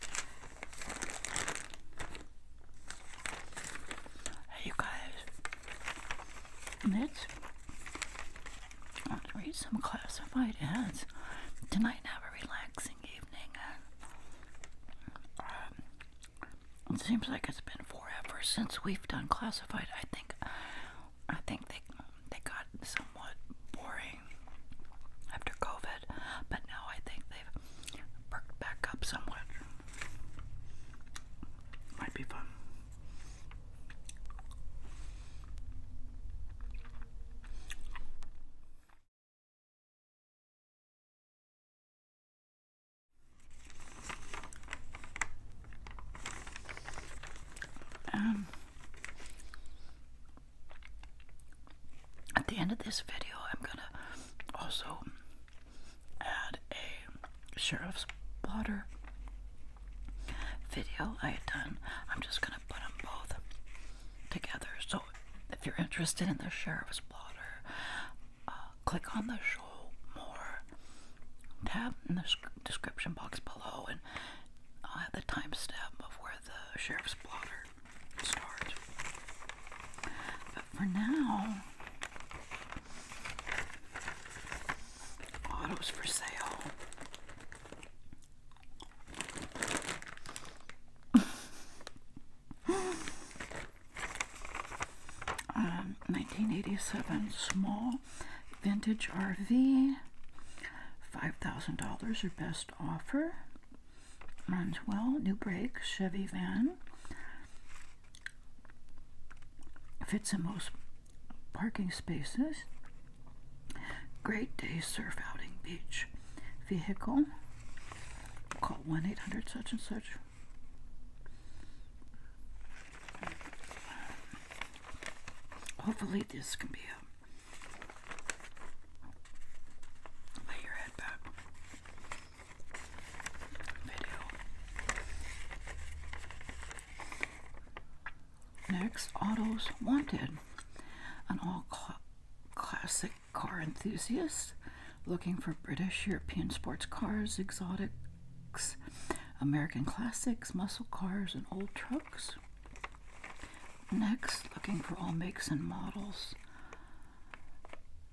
Hey you guys, let's, let read some classified ads. Tonight have a relaxing evening um, it seems like it's been forever since we've done classified. I think I think they they got somewhat boring after COVID, but now I think they've perked back up somewhat. Might be fun. Um, at the end of this video, I'm gonna also add a sheriff's blotter video I had done. I'm just gonna put them both together. So if you're interested in the sheriff's blotter, uh, click on the show more tab in the description box below, and I'll uh, have the timestamp of where the sheriff's blotter start. But for now, autos for sale. um, 1987 small vintage RV, $5,000 or best offer runs well, new brakes, Chevy van. Fits in most parking spaces. Great day surf outing beach. Vehicle. Call 1 800 such and such. Hopefully, this can be a Lay your head back. Video. Next, Autos Wanted. An all classic car enthusiast looking for British, European sports cars, exotics, American classics, muscle cars, and old trucks. Next, looking for all makes and models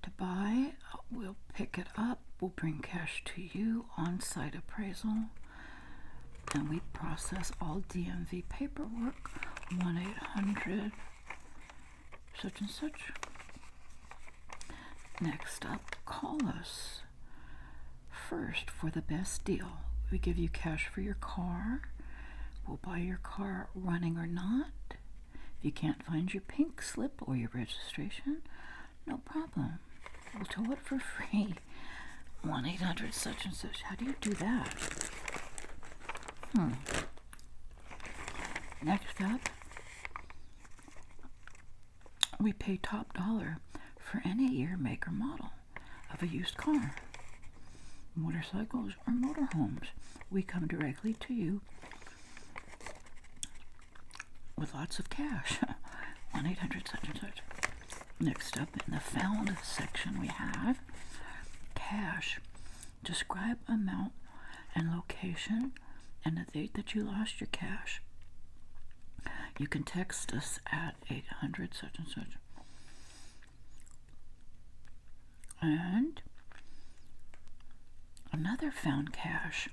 to buy. We'll pick it up. We'll bring cash to you on site appraisal. And we process all DMV paperwork 1 800 such and such. Next up, call us first for the best deal. We give you cash for your car we will buy your car running or not. If you can't find your pink slip or your registration, no problem. We'll tow it for free. 1 800 such and such. How do you do that? Hmm. Next up, we pay top dollar for any year, make, or model of a used car. Motorcycles, homes or motorhomes. We come directly to you with lots of cash. 1 800 such and such. Next up in the found section, we have cash. Describe amount and location and the date that you lost your cash. You can text us at 800 such and such. And another found cash.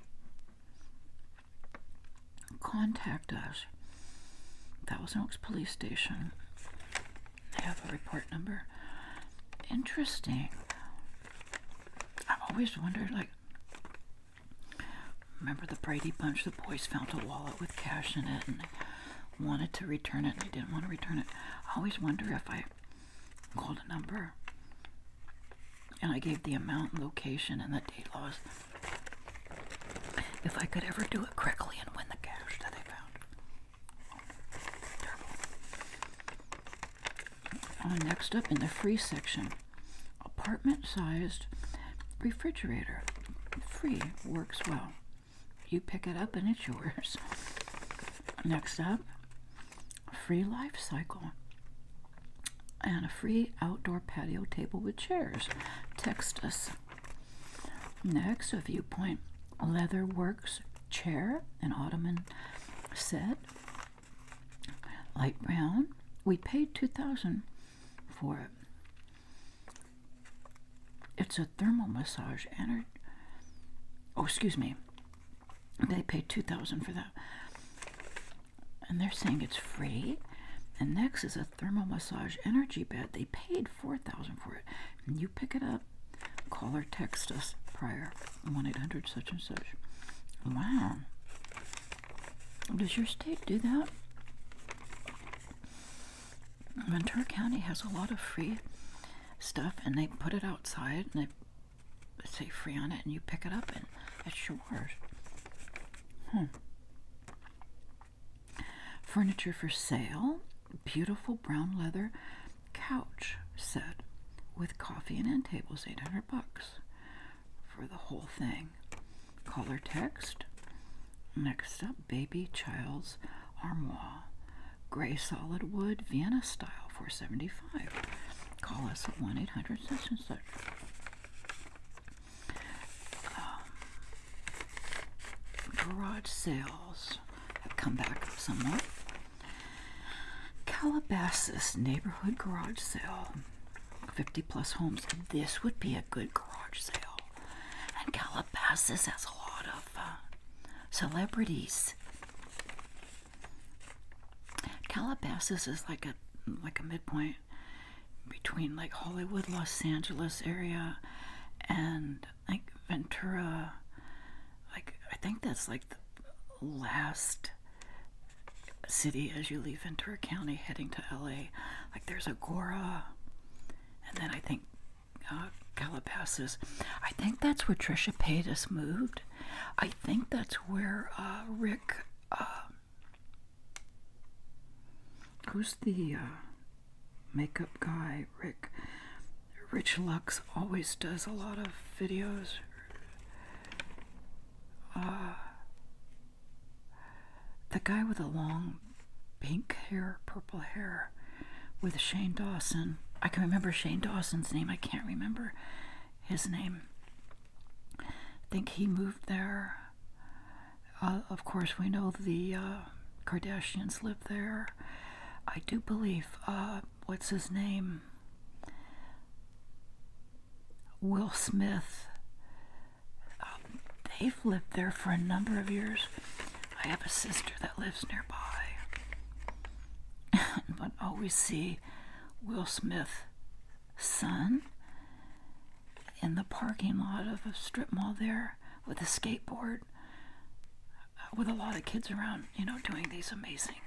Contact us. That Thousand Oaks Police Station. They have a report number. Interesting. I've always wondered, like, remember the Brady Bunch? The boys found a wallet with cash in it, and wanted to return it. I didn't want to return it. I always wonder if I called a number and I gave the amount, location, and the date loss. If I could ever do it correctly and win the cash that I found. next up in the free section, apartment-sized refrigerator. Free works well. You pick it up and it's yours. Next up, free life cycle and a free outdoor patio table with chairs. Text us. Next, a viewpoint leather works chair and ottoman set, light brown. We paid two thousand for it. It's a thermal massage energy. oh, excuse me. They pay 2000 for that. And they're saying it's free. And next is a thermal massage energy bed. They paid 4000 for it. And you pick it up, call or text us prior 1 800 such and such. Wow. Does your state do that? Ventura County has a lot of free stuff, and they put it outside, and they say free on it, and you pick it up, and it's yours. Hmm. Furniture for sale, beautiful brown leather couch set with coffee and end tables, 800 bucks for the whole thing. Caller text. Next up, baby child's armoire gray solid wood Vienna style 475. Call us at 1 800 such and um, such. garage sales have come back somewhat. Calabasas neighborhood garage sale. 50 plus homes. This would be a good garage sale. And Calabasas has a lot of uh, celebrities. Calabasas is like a like a midpoint between like Hollywood, Los Angeles area, and like Ventura. Like I think that's like the last city as you leave Ventura County heading to LA. Like there's Agora, and then I think Calabasas. Uh, I think that's where Trisha Paytas moved. I think that's where uh, Rick, uh, who's the makeup guy? Rick, Rich Lux always does a lot of videos. Uh, the guy with the long pink hair, purple hair, with Shane Dawson. I can remember Shane Dawson's name. I can't remember his name. I think he moved there. Uh, of course, we know the uh, Kardashians live there. I do believe, uh, what's his name? Will Smith. Um, they've lived there for a number of years. I have a sister that lives nearby, but always oh, see Will Smith's son in the parking lot of a strip mall there with a skateboard, uh, with a lot of kids around, you know, doing these amazing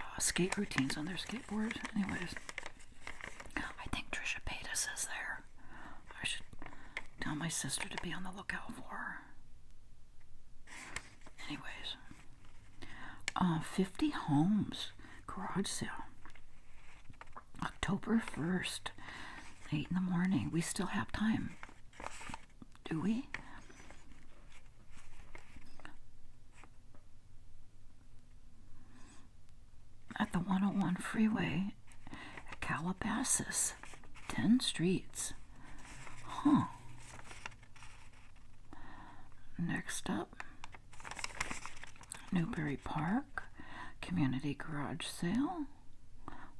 uh, skate routines on their skateboards. Anyways, I think Trisha Paytas is there. I should tell my sister to be on the lookout for her. Anyways, uh, 50 homes garage sale. October 1st, 8 in the morning. We still have time. Do we? At the 101 freeway Calabasas. Ten streets. Huh. Next up, Newberry Park, Community Garage Sale,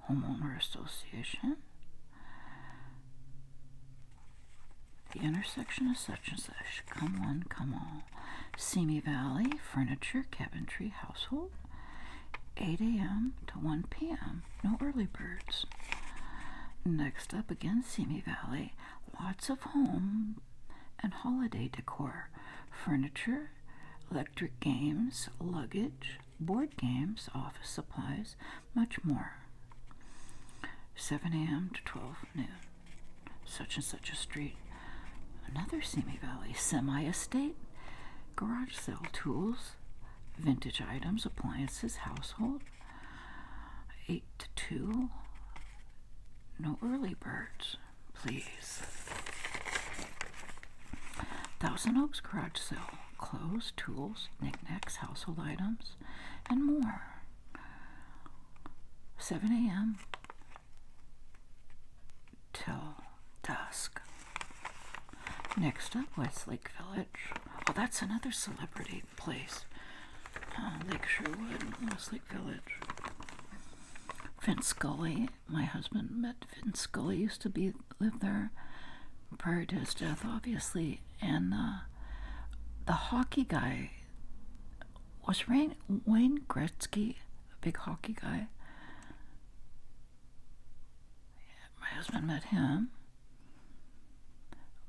Homeowner Association, the intersection of such and such, come one, come all, Simi Valley, Furniture, Cabinetry, Household, 8 a.m. to 1 p.m. No early birds. Next up again, Simi Valley. Lots of home and holiday decor, furniture, electric games, luggage, board games, office supplies, much more. 7 a.m. to 12 noon. Such and such a street. Another Simi Valley semi estate garage sale tools, vintage items, appliances, household, 8 to 2. No early birds, please. Thousand Oaks garage sale, clothes, tools, knickknacks, household items, and more. 7 a.m till dusk. Next up, Westlake Village. Well, oh, that's another celebrity place. Lake Sherwood, Westlake Village. Vince Scully, my husband met Vince Scully, used to be live there prior to his death, obviously. And uh, the hockey guy was Wayne Gretzky, a big hockey guy. My husband met him,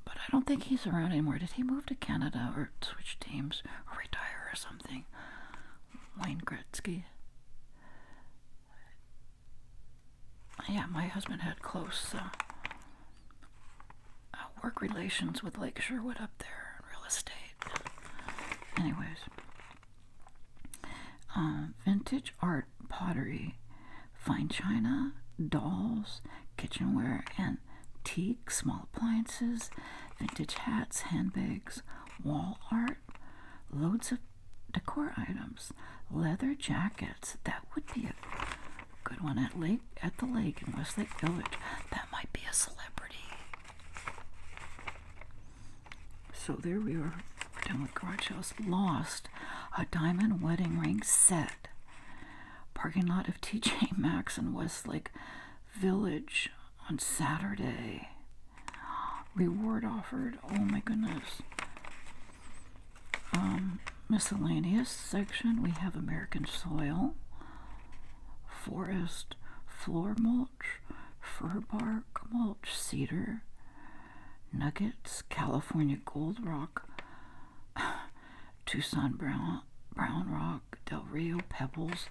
but I don't think he's around anymore. Did he move to Canada or switch teams or retire or something? Wayne Gretzky. Yeah, my husband had close uh, uh, work relations with Lake Sherwood up there in real estate. Anyways, uh, vintage art pottery, fine china, dolls, kitchenware, and teak, small appliances, vintage hats, handbags, wall art, loads of decor items, leather jackets. That would be a good one at lake at the lake in Westlake Village. That might be a celebrity. So there we are. we done with garage sales. Lost a diamond wedding ring set. Parking lot of TJ Maxx in Westlake Village on Saturday. Reward offered. Oh my goodness. Um, miscellaneous section. We have American soil, forest floor mulch, fir bark, mulch, cedar, nuggets, California gold rock, Tucson brown, brown rock, Del Rio pebbles.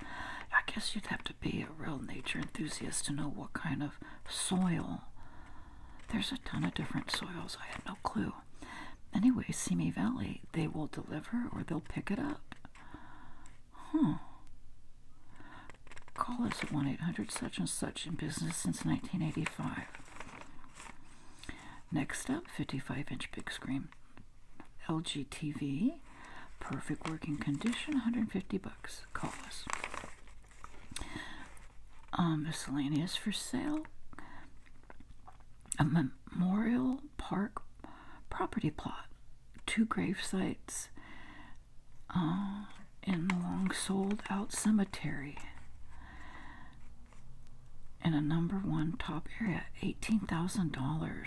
I guess you'd have to be a real nature enthusiast to know what kind of soil. There's a ton of different soils. I had no clue. Anyway, Simi Valley, they will deliver or they'll pick it up. Huh. Call us at 1 800 such and such in business since 1985. Next up, 55 inch big screen LG TV, perfect working condition, 150 bucks. Call us. Um, miscellaneous for sale. A memorial park property plot, two grave sites, uh, in the long sold out cemetery in a number one top area $18,000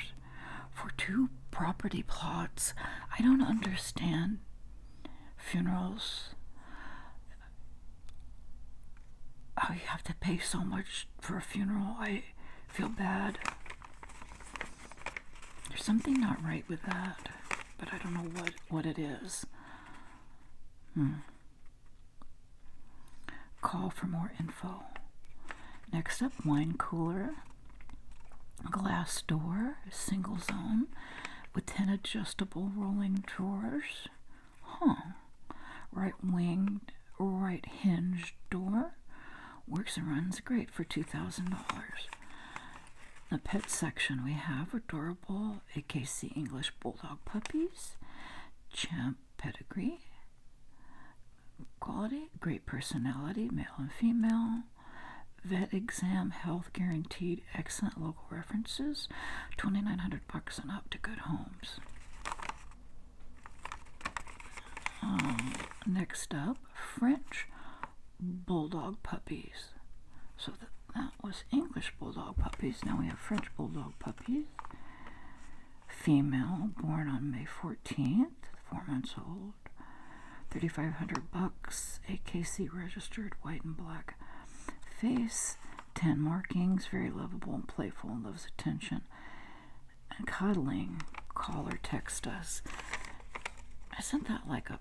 for two property plots. I don't understand funerals. How oh, you have to pay so much for a funeral. I feel bad. There's something not right with that, but I don't know what, what it is. Hmm. Call for more info. Next up, wine cooler, glass door, single zone, with 10 adjustable rolling drawers. Huh. Right winged, right hinged door, Works and runs great for $2,000. The pet section we have adorable AKC English Bulldog puppies, champ pedigree, quality, great personality, male and female, vet exam, health guaranteed, excellent local references, 2900 bucks and up to good homes. Um, next up, French bulldog puppies. So that, was English bulldog puppies. Now we have French bulldog puppies. Female, born on May 14th, four months old. 3,500 bucks, AKC registered, white and black face, tan markings, very lovable and playful and loves attention and cuddling. Call or text us. Isn't that like a.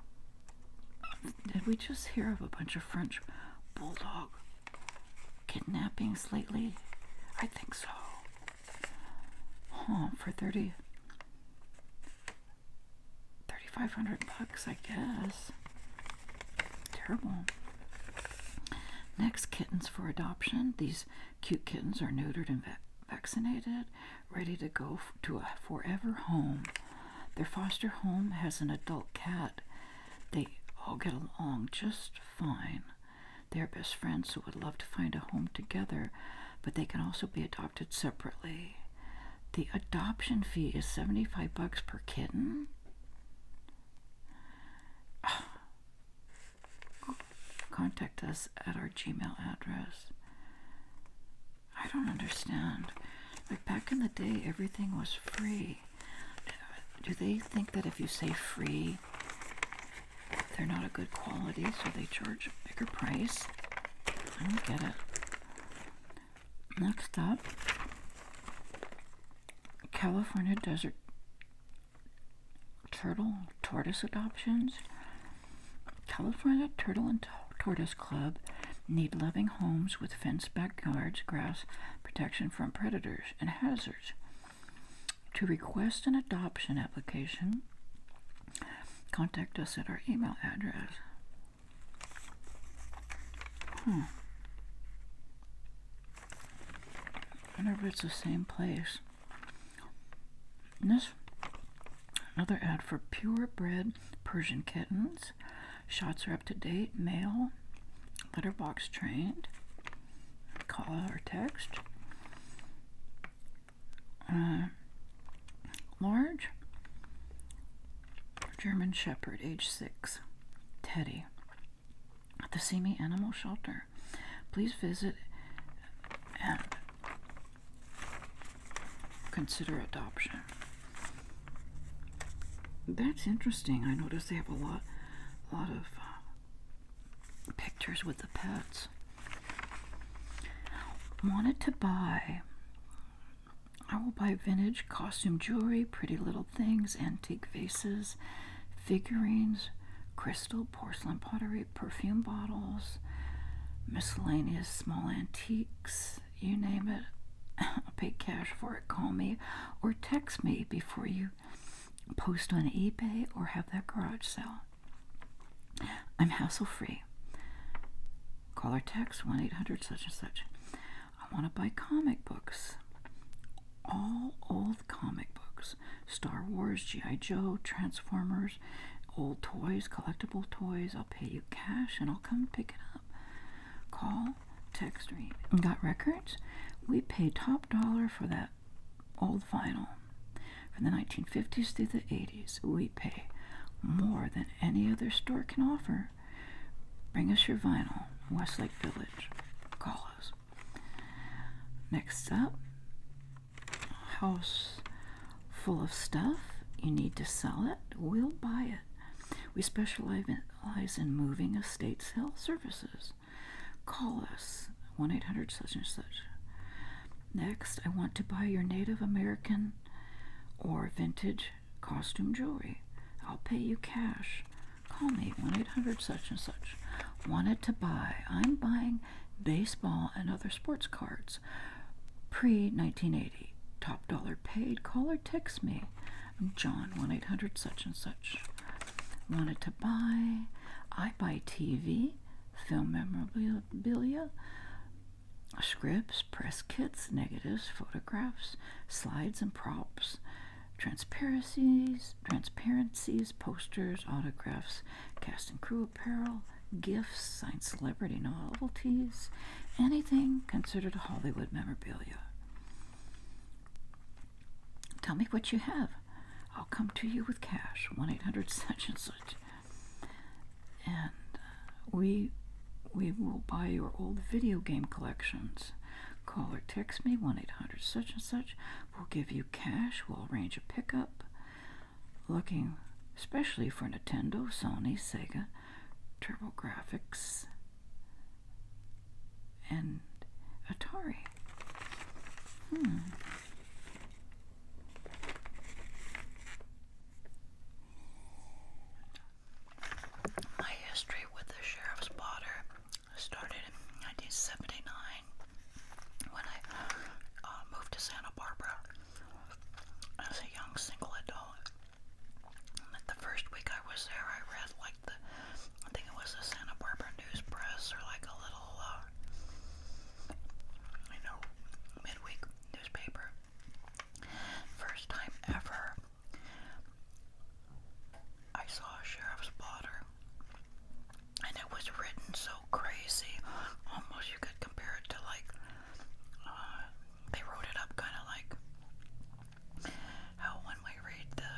Did we just hear of a bunch of French bulldog kidnapping lately? I think so. Huh, for 30. 3500 bucks, I guess. Terrible. Next, kittens for adoption. These cute kittens are neutered and vaccinated ready to go to a forever home. Their foster home has an adult cat. They all get along just fine. They are best friends who would love to find a home together, but they can also be adopted separately. The adoption fee is 75 bucks per kitten. Ah. Contact us at our Gmail address. I don't understand. Like back in the day, everything was free. Do they think that if you say free, they're not a good quality, so they charge a bigger price? I don't get it. Next up, California Desert Turtle Tortoise Adoptions. California Turtle and Tortoise Club need loving homes with fenced backyards, grass protection from predators and hazards. To request an adoption application, contact us at our email address. Hmm. I wonder if it's the same place. And this another ad for purebred Persian kittens. Shots are up to date, male, letterbox trained, call or text. Uh, large German Shepherd, age six, Teddy, at the Semi Animal Shelter. Please visit and uh, Consider adoption. That's interesting. I notice they have a lot, a lot of uh, pictures with the pets. Wanted to buy. I will buy vintage costume jewelry, pretty little things, antique vases, figurines, crystal, porcelain pottery, perfume bottles, miscellaneous small antiques, you name it. I'll pay cash for it. Call me or text me before you post on eBay or have that garage sale. I'm hassle free. Call or text 1 800 such and such. I want to buy comic books. All old comic books Star Wars, G.I. Joe, Transformers old toys, collectible toys. I'll pay you cash and I'll come pick it up. Call, text, or email. Got records? We pay top dollar for that old vinyl. From the 1950s through the 80s, we pay more than any other store can offer. Bring us your vinyl, Westlake Village. Call us. Next up, house full of stuff, you need to sell it, we'll buy it. We specialize in moving estate sale services. Call us 1 800 such and such. Next, I want to buy your Native American or vintage costume jewelry. I'll pay you cash. Call me 1 800 such and such. Wanted to buy. I'm buying baseball and other sports cards pre 1980. Top dollar paid. Caller texts me. I'm John, 1 800 such and such. Wanted to buy. I buy TV, film memorabilia, scripts, press kits, negatives, photographs, slides, and props. Transparencies, transparencies, posters, autographs, cast and crew apparel, gifts, signed celebrity novelties, anything considered Hollywood memorabilia. Tell me what you have. I'll come to you with cash, 1 800 such and such. And uh, we, we will buy your old video game collections. Call or text me, 1 800 such and such. We'll give you cash, we'll arrange a pickup looking especially for Nintendo, Sony, Sega, TurboGrafx, and Atari. Hmm. My history with the Sheriff's Potter started in 1979 when I uh, moved to Santa Barbara as a young single adult. And the first week I was there, I read like the, I think it was the Santa Barbara News Press or like a little, uh, you know, midweek newspaper. First time ever I saw a sheriff's blotter and it was written so crazy, almost you could compare it to like uh, they wrote it up kind of like how when we read the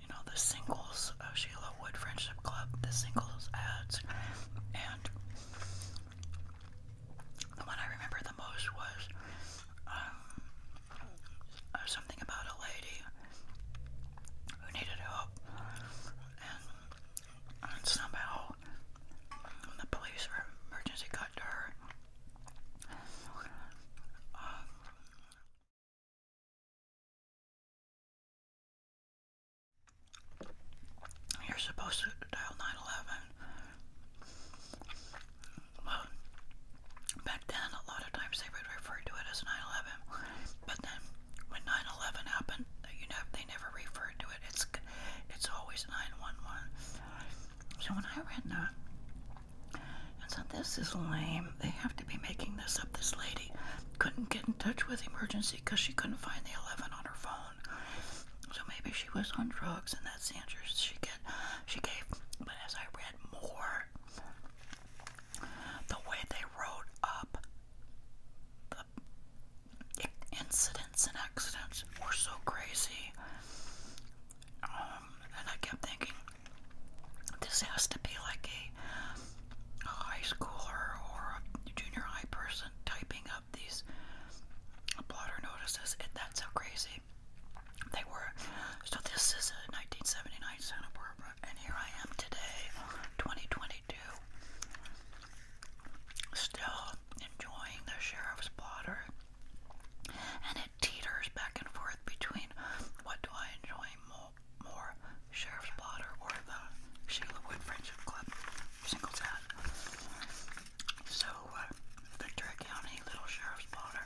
you know the singles of Sheila Wood Friendship Club, the singles ads, and the one I remember the most was um, uh, something about a lady who needed help, and somehow um, the police or emergency got to her. Um, you're supposed to dial 911. Well, back then, a lot of times they would refer to it as 911. But then when 9/11 happened, you know they never referred to it. It's it's always 911. So when I read that, and said this is lame. They have to be making this up. This lady couldn't get in touch with emergency because she couldn't find the 11 on her phone. So maybe she was on drugs, and that's the answer she get. She gave. But as I read more, the way they wrote up the incidents and accidents were so crazy. Um, and I kept thinking, this has to be like a, high schooler or a junior high person typing up these blotter notices. And that's how crazy they were. So this is a 1979 Santa Barbara, and here I am today, 2022 still enjoying the sheriff's blotter, and it teeters back and forth between what do I enjoy more, sheriff's blotter or the Sheila Wood Friendship Club singles ad. So, uh, County Little Sheriff's Blotter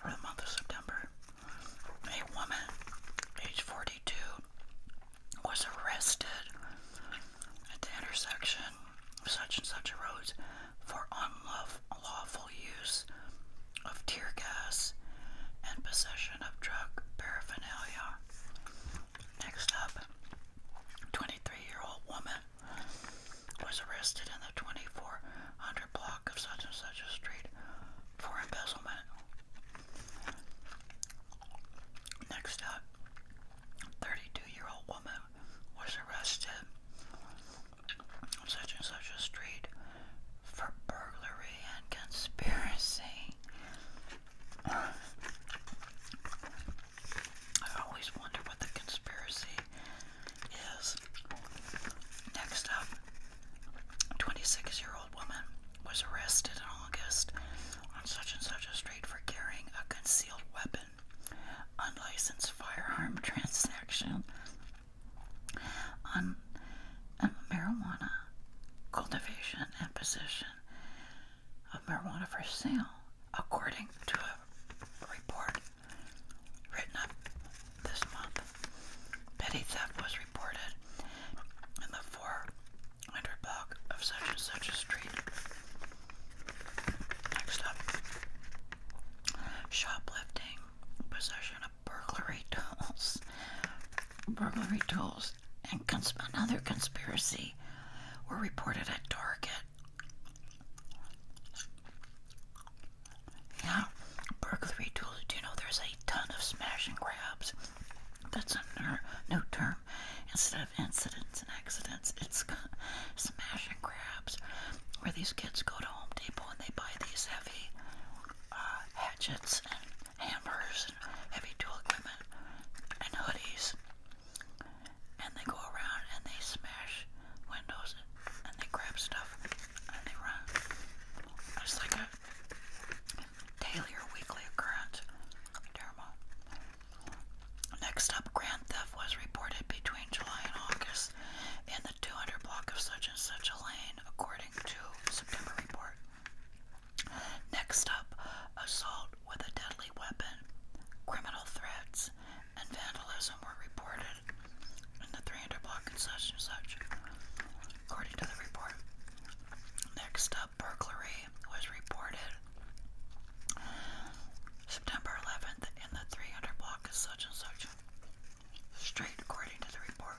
for the month of September a woman, age 42, was arrested at the intersection of such and such roads for unlawful use of tear gas and possession of drug paraphernalia. Next up, 23 year old woman was arrested in the 2400 block of such and such a street for embezzlement. Next up, 32-year-old woman was arrested on such and such a street for burglary and conspiracy. I always wonder what the conspiracy is. Next up, 26 year old woman was arrested in August on such and such a street for carrying a concealed weapon, unlicensed firearm transaction, on um, marijuana cultivation and possession of marijuana for sale, according to a report written up this month. Petty theft was reported in the 400 block of such and such a street. Next up, shoplifting, possession of burglary tools, burglary tools, and cons another conspiracy were reported at Target. Yeah, burglary tools. Do you know there's a ton of smash and grabs? That's a new term. Instead of incidents and accidents, it's smash and grabs, where these kids go to Home Depot and they buy these heavy uh, hatchets and hammers and heavy tool equipment and hoodies, and they go around and they smash windows and they grab stuff and they run. It's like a Daily or weekly occurrence. Next up, grand theft was reported between July and August in the 200 block of such and such a lane, according to September report. Next up, assault with a deadly weapon, criminal threats, and vandalism were reported in the Miranda Block and such and such, according to the report. Next up, burglary was reported September 11th in the 300 block of such and such street, according to the report.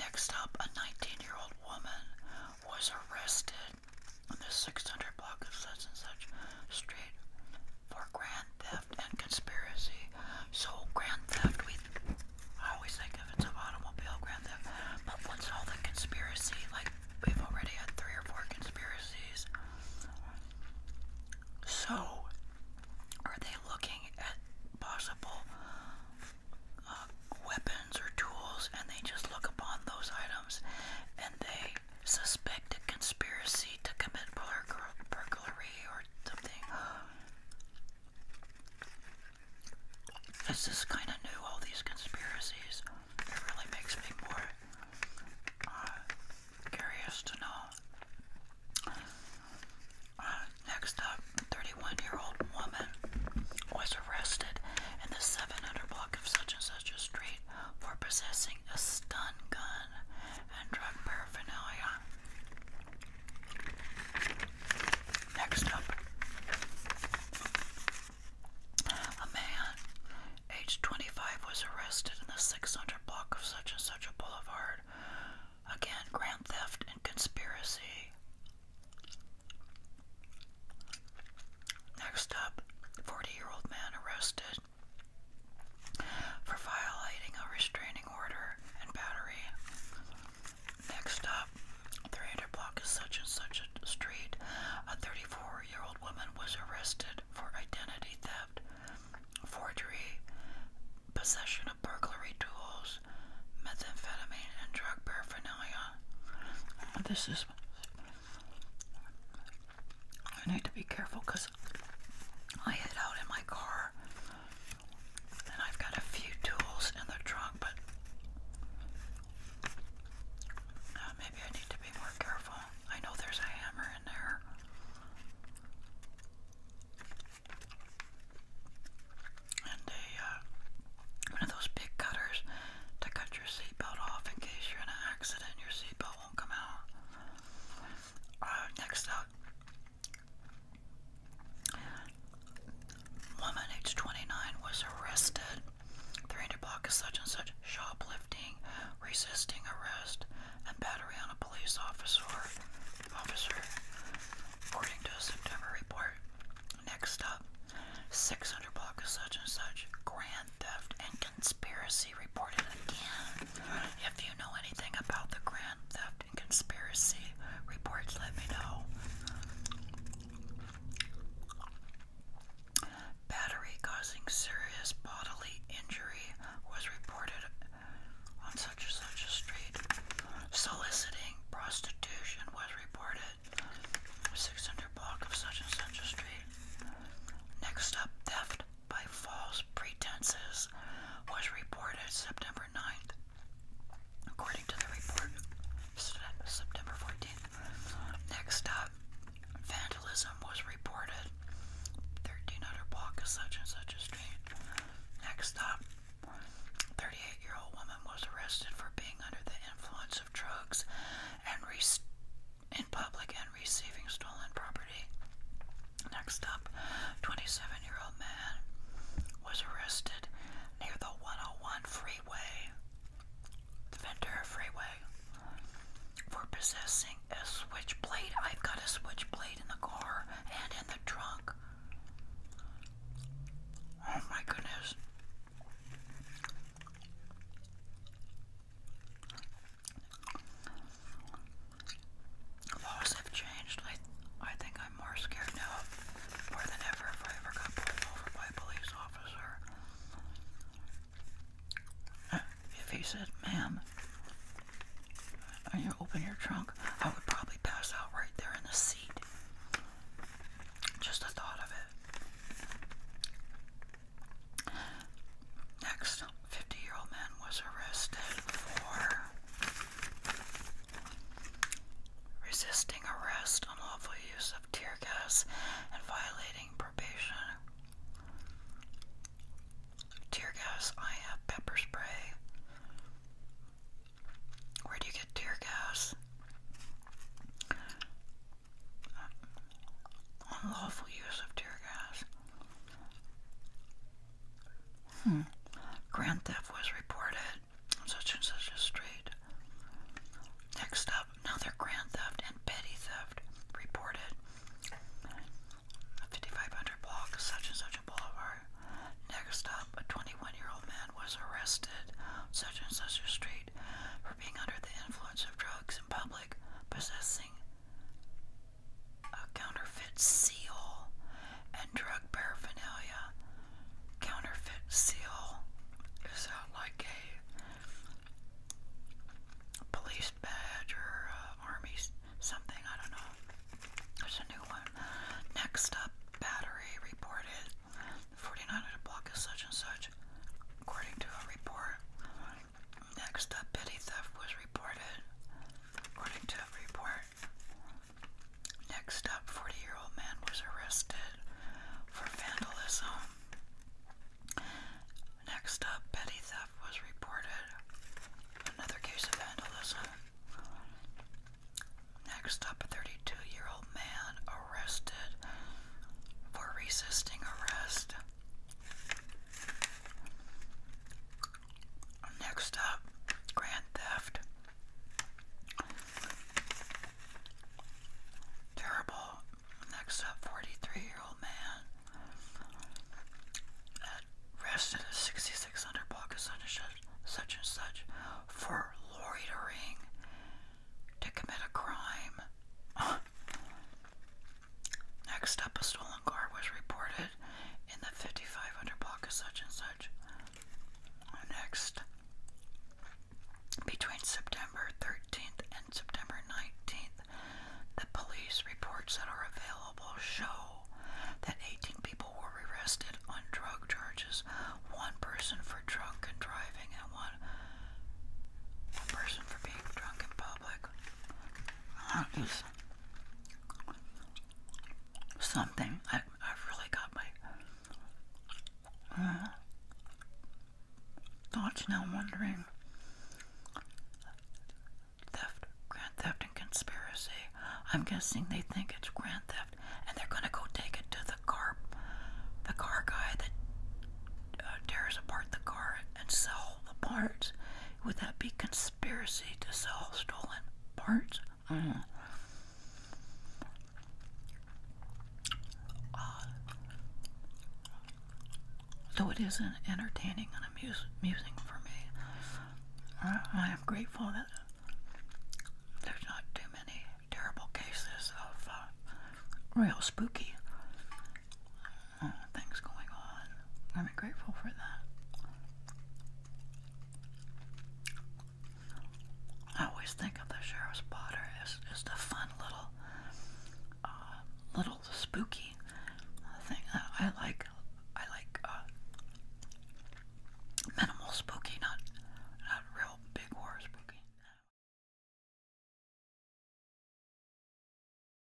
Next up, a 19-year-old woman was arrested in the 600 block of such and such street for grand theft and conspiracy. So grand theft, we I always think of it's an automobile grand theft, but what's all the conspiracy? Like we've already had three or four conspiracies. So are they looking at possible uh, weapons or tools, and they just look upon those items, and they suspect a conspiracy to commit burglary or something? This is kind of new, all these conspiracies. It really makes me more uh, curious to know. Uh, next up, 31-year-old woman was arrested in the 700 block of such and such a street for possessing a stun gun and drug paraphernalia. Next up, a man aged 25 was arrested in the 600 block of such and such a boulevard. Again, grand theft and conspiracy. Next up, 40 year old man arrested for violating a restraining Next up, 300 block is such and such street. A 34-year-old woman was arrested for identity theft, forgery, possession of burglary tools, methamphetamine, and drug paraphernalia. This is. I need to be careful because I hid out in my car and I've got a few tools in the trunk, but maybe I need to be more careful. I know there's a hammer in there. And a, uh, one of those big cutters to cut your seatbelt off in case you're in an accident and your seatbelt won't come out. Uh, next up, Woman aged 29 was arrested. 300 block of such and such shoplifting, resisting arrest, and battery on a police officer. Officer, according to a September report. Next up, 600 block of such and such grand theft and conspiracy reported again. If you know anything about the Grand Theft and Conspiracy reports, let me know. Battery causing serious bodily injury was reported on such and such a street. Soliciting prostitution was reported 600 block of such and such a street. Next up, theft by false pretenses was reported September September According to the report, September 14th. Next up, vandalism was reported. 1300 block of such and such a street. Next up, 38 year old woman was arrested for being under the influence of drugs and in public and receiving stolen property. Next up, 27-year-old man was arrested near the 101 freeway, Ventura freeway, for possessing a switchblade. I've got a switchblade in the car and in the trunk. Oh my goodness. Laws have changed. I, I think I'm more scared now, more than ever, if I ever got pulled over by a police officer. If he said, ma'am, you open your trunk, I would probably pass out right there in the seat. Just the thought of it. Next, 50 year old man was arrested for resisting arrest, unlawful use of tear gas, and violating probation. Tear gas, I have pepper spray. Where do you get tear gas? Uh, unlawful use of tear gas. Hmm. Grand theft was reported on such and such a street. Next up, another grand theft and petty theft reported. 5500 block, such and such a boulevard. Next up, a 21 year old man was arrested, such and such a street, for being under the influence of drugs in public, possessing a counterfeit seal, and drug paraphernalia. Counterfeit seal is out like a police badge or uh, army something, I don't know. There's a new one. Next up, battery reported 4900 block is such and such, according to a report. Next up, petty theft was reported, according to a report. Next up, 40 year old man was arrested for vandalism. Next up, petty theft was reported. Another case of vandalism. Next up, 32 year old man arrested for resisting arrest. Next up, Grand Theft. Terrible. Next up, 43 year old man arrested at 6600 block of such and, such and such for loitering to commit a crime. Next up, a stolen car was reported in the 5500 block of such and such. Next, between September 13th and September 19th, the police reports that are available show that 18 people were arrested on drug charges, one person for drunk and driving, and one person for being drunk in public. something. I, I've really got my uh, thoughts now wondering theft, grand theft, and conspiracy. I'm guessing they think it's grand theft, and they're gonna go take it to the car, the car guy that uh, tears apart the car and sell the parts. Would that be conspiracy? conspiracy to sell stolen parts. Mm. Uh, though it is entertaining and amuse, amusing for me, I, am grateful that there's not too many terrible cases of uh, real spooky uh, things going on. I'm grateful for that. I always think of the Sheriff's Potter as just a fun little, uh, little spooky thing. I, I like, I like uh, minimal spooky, not not real big horror spooky.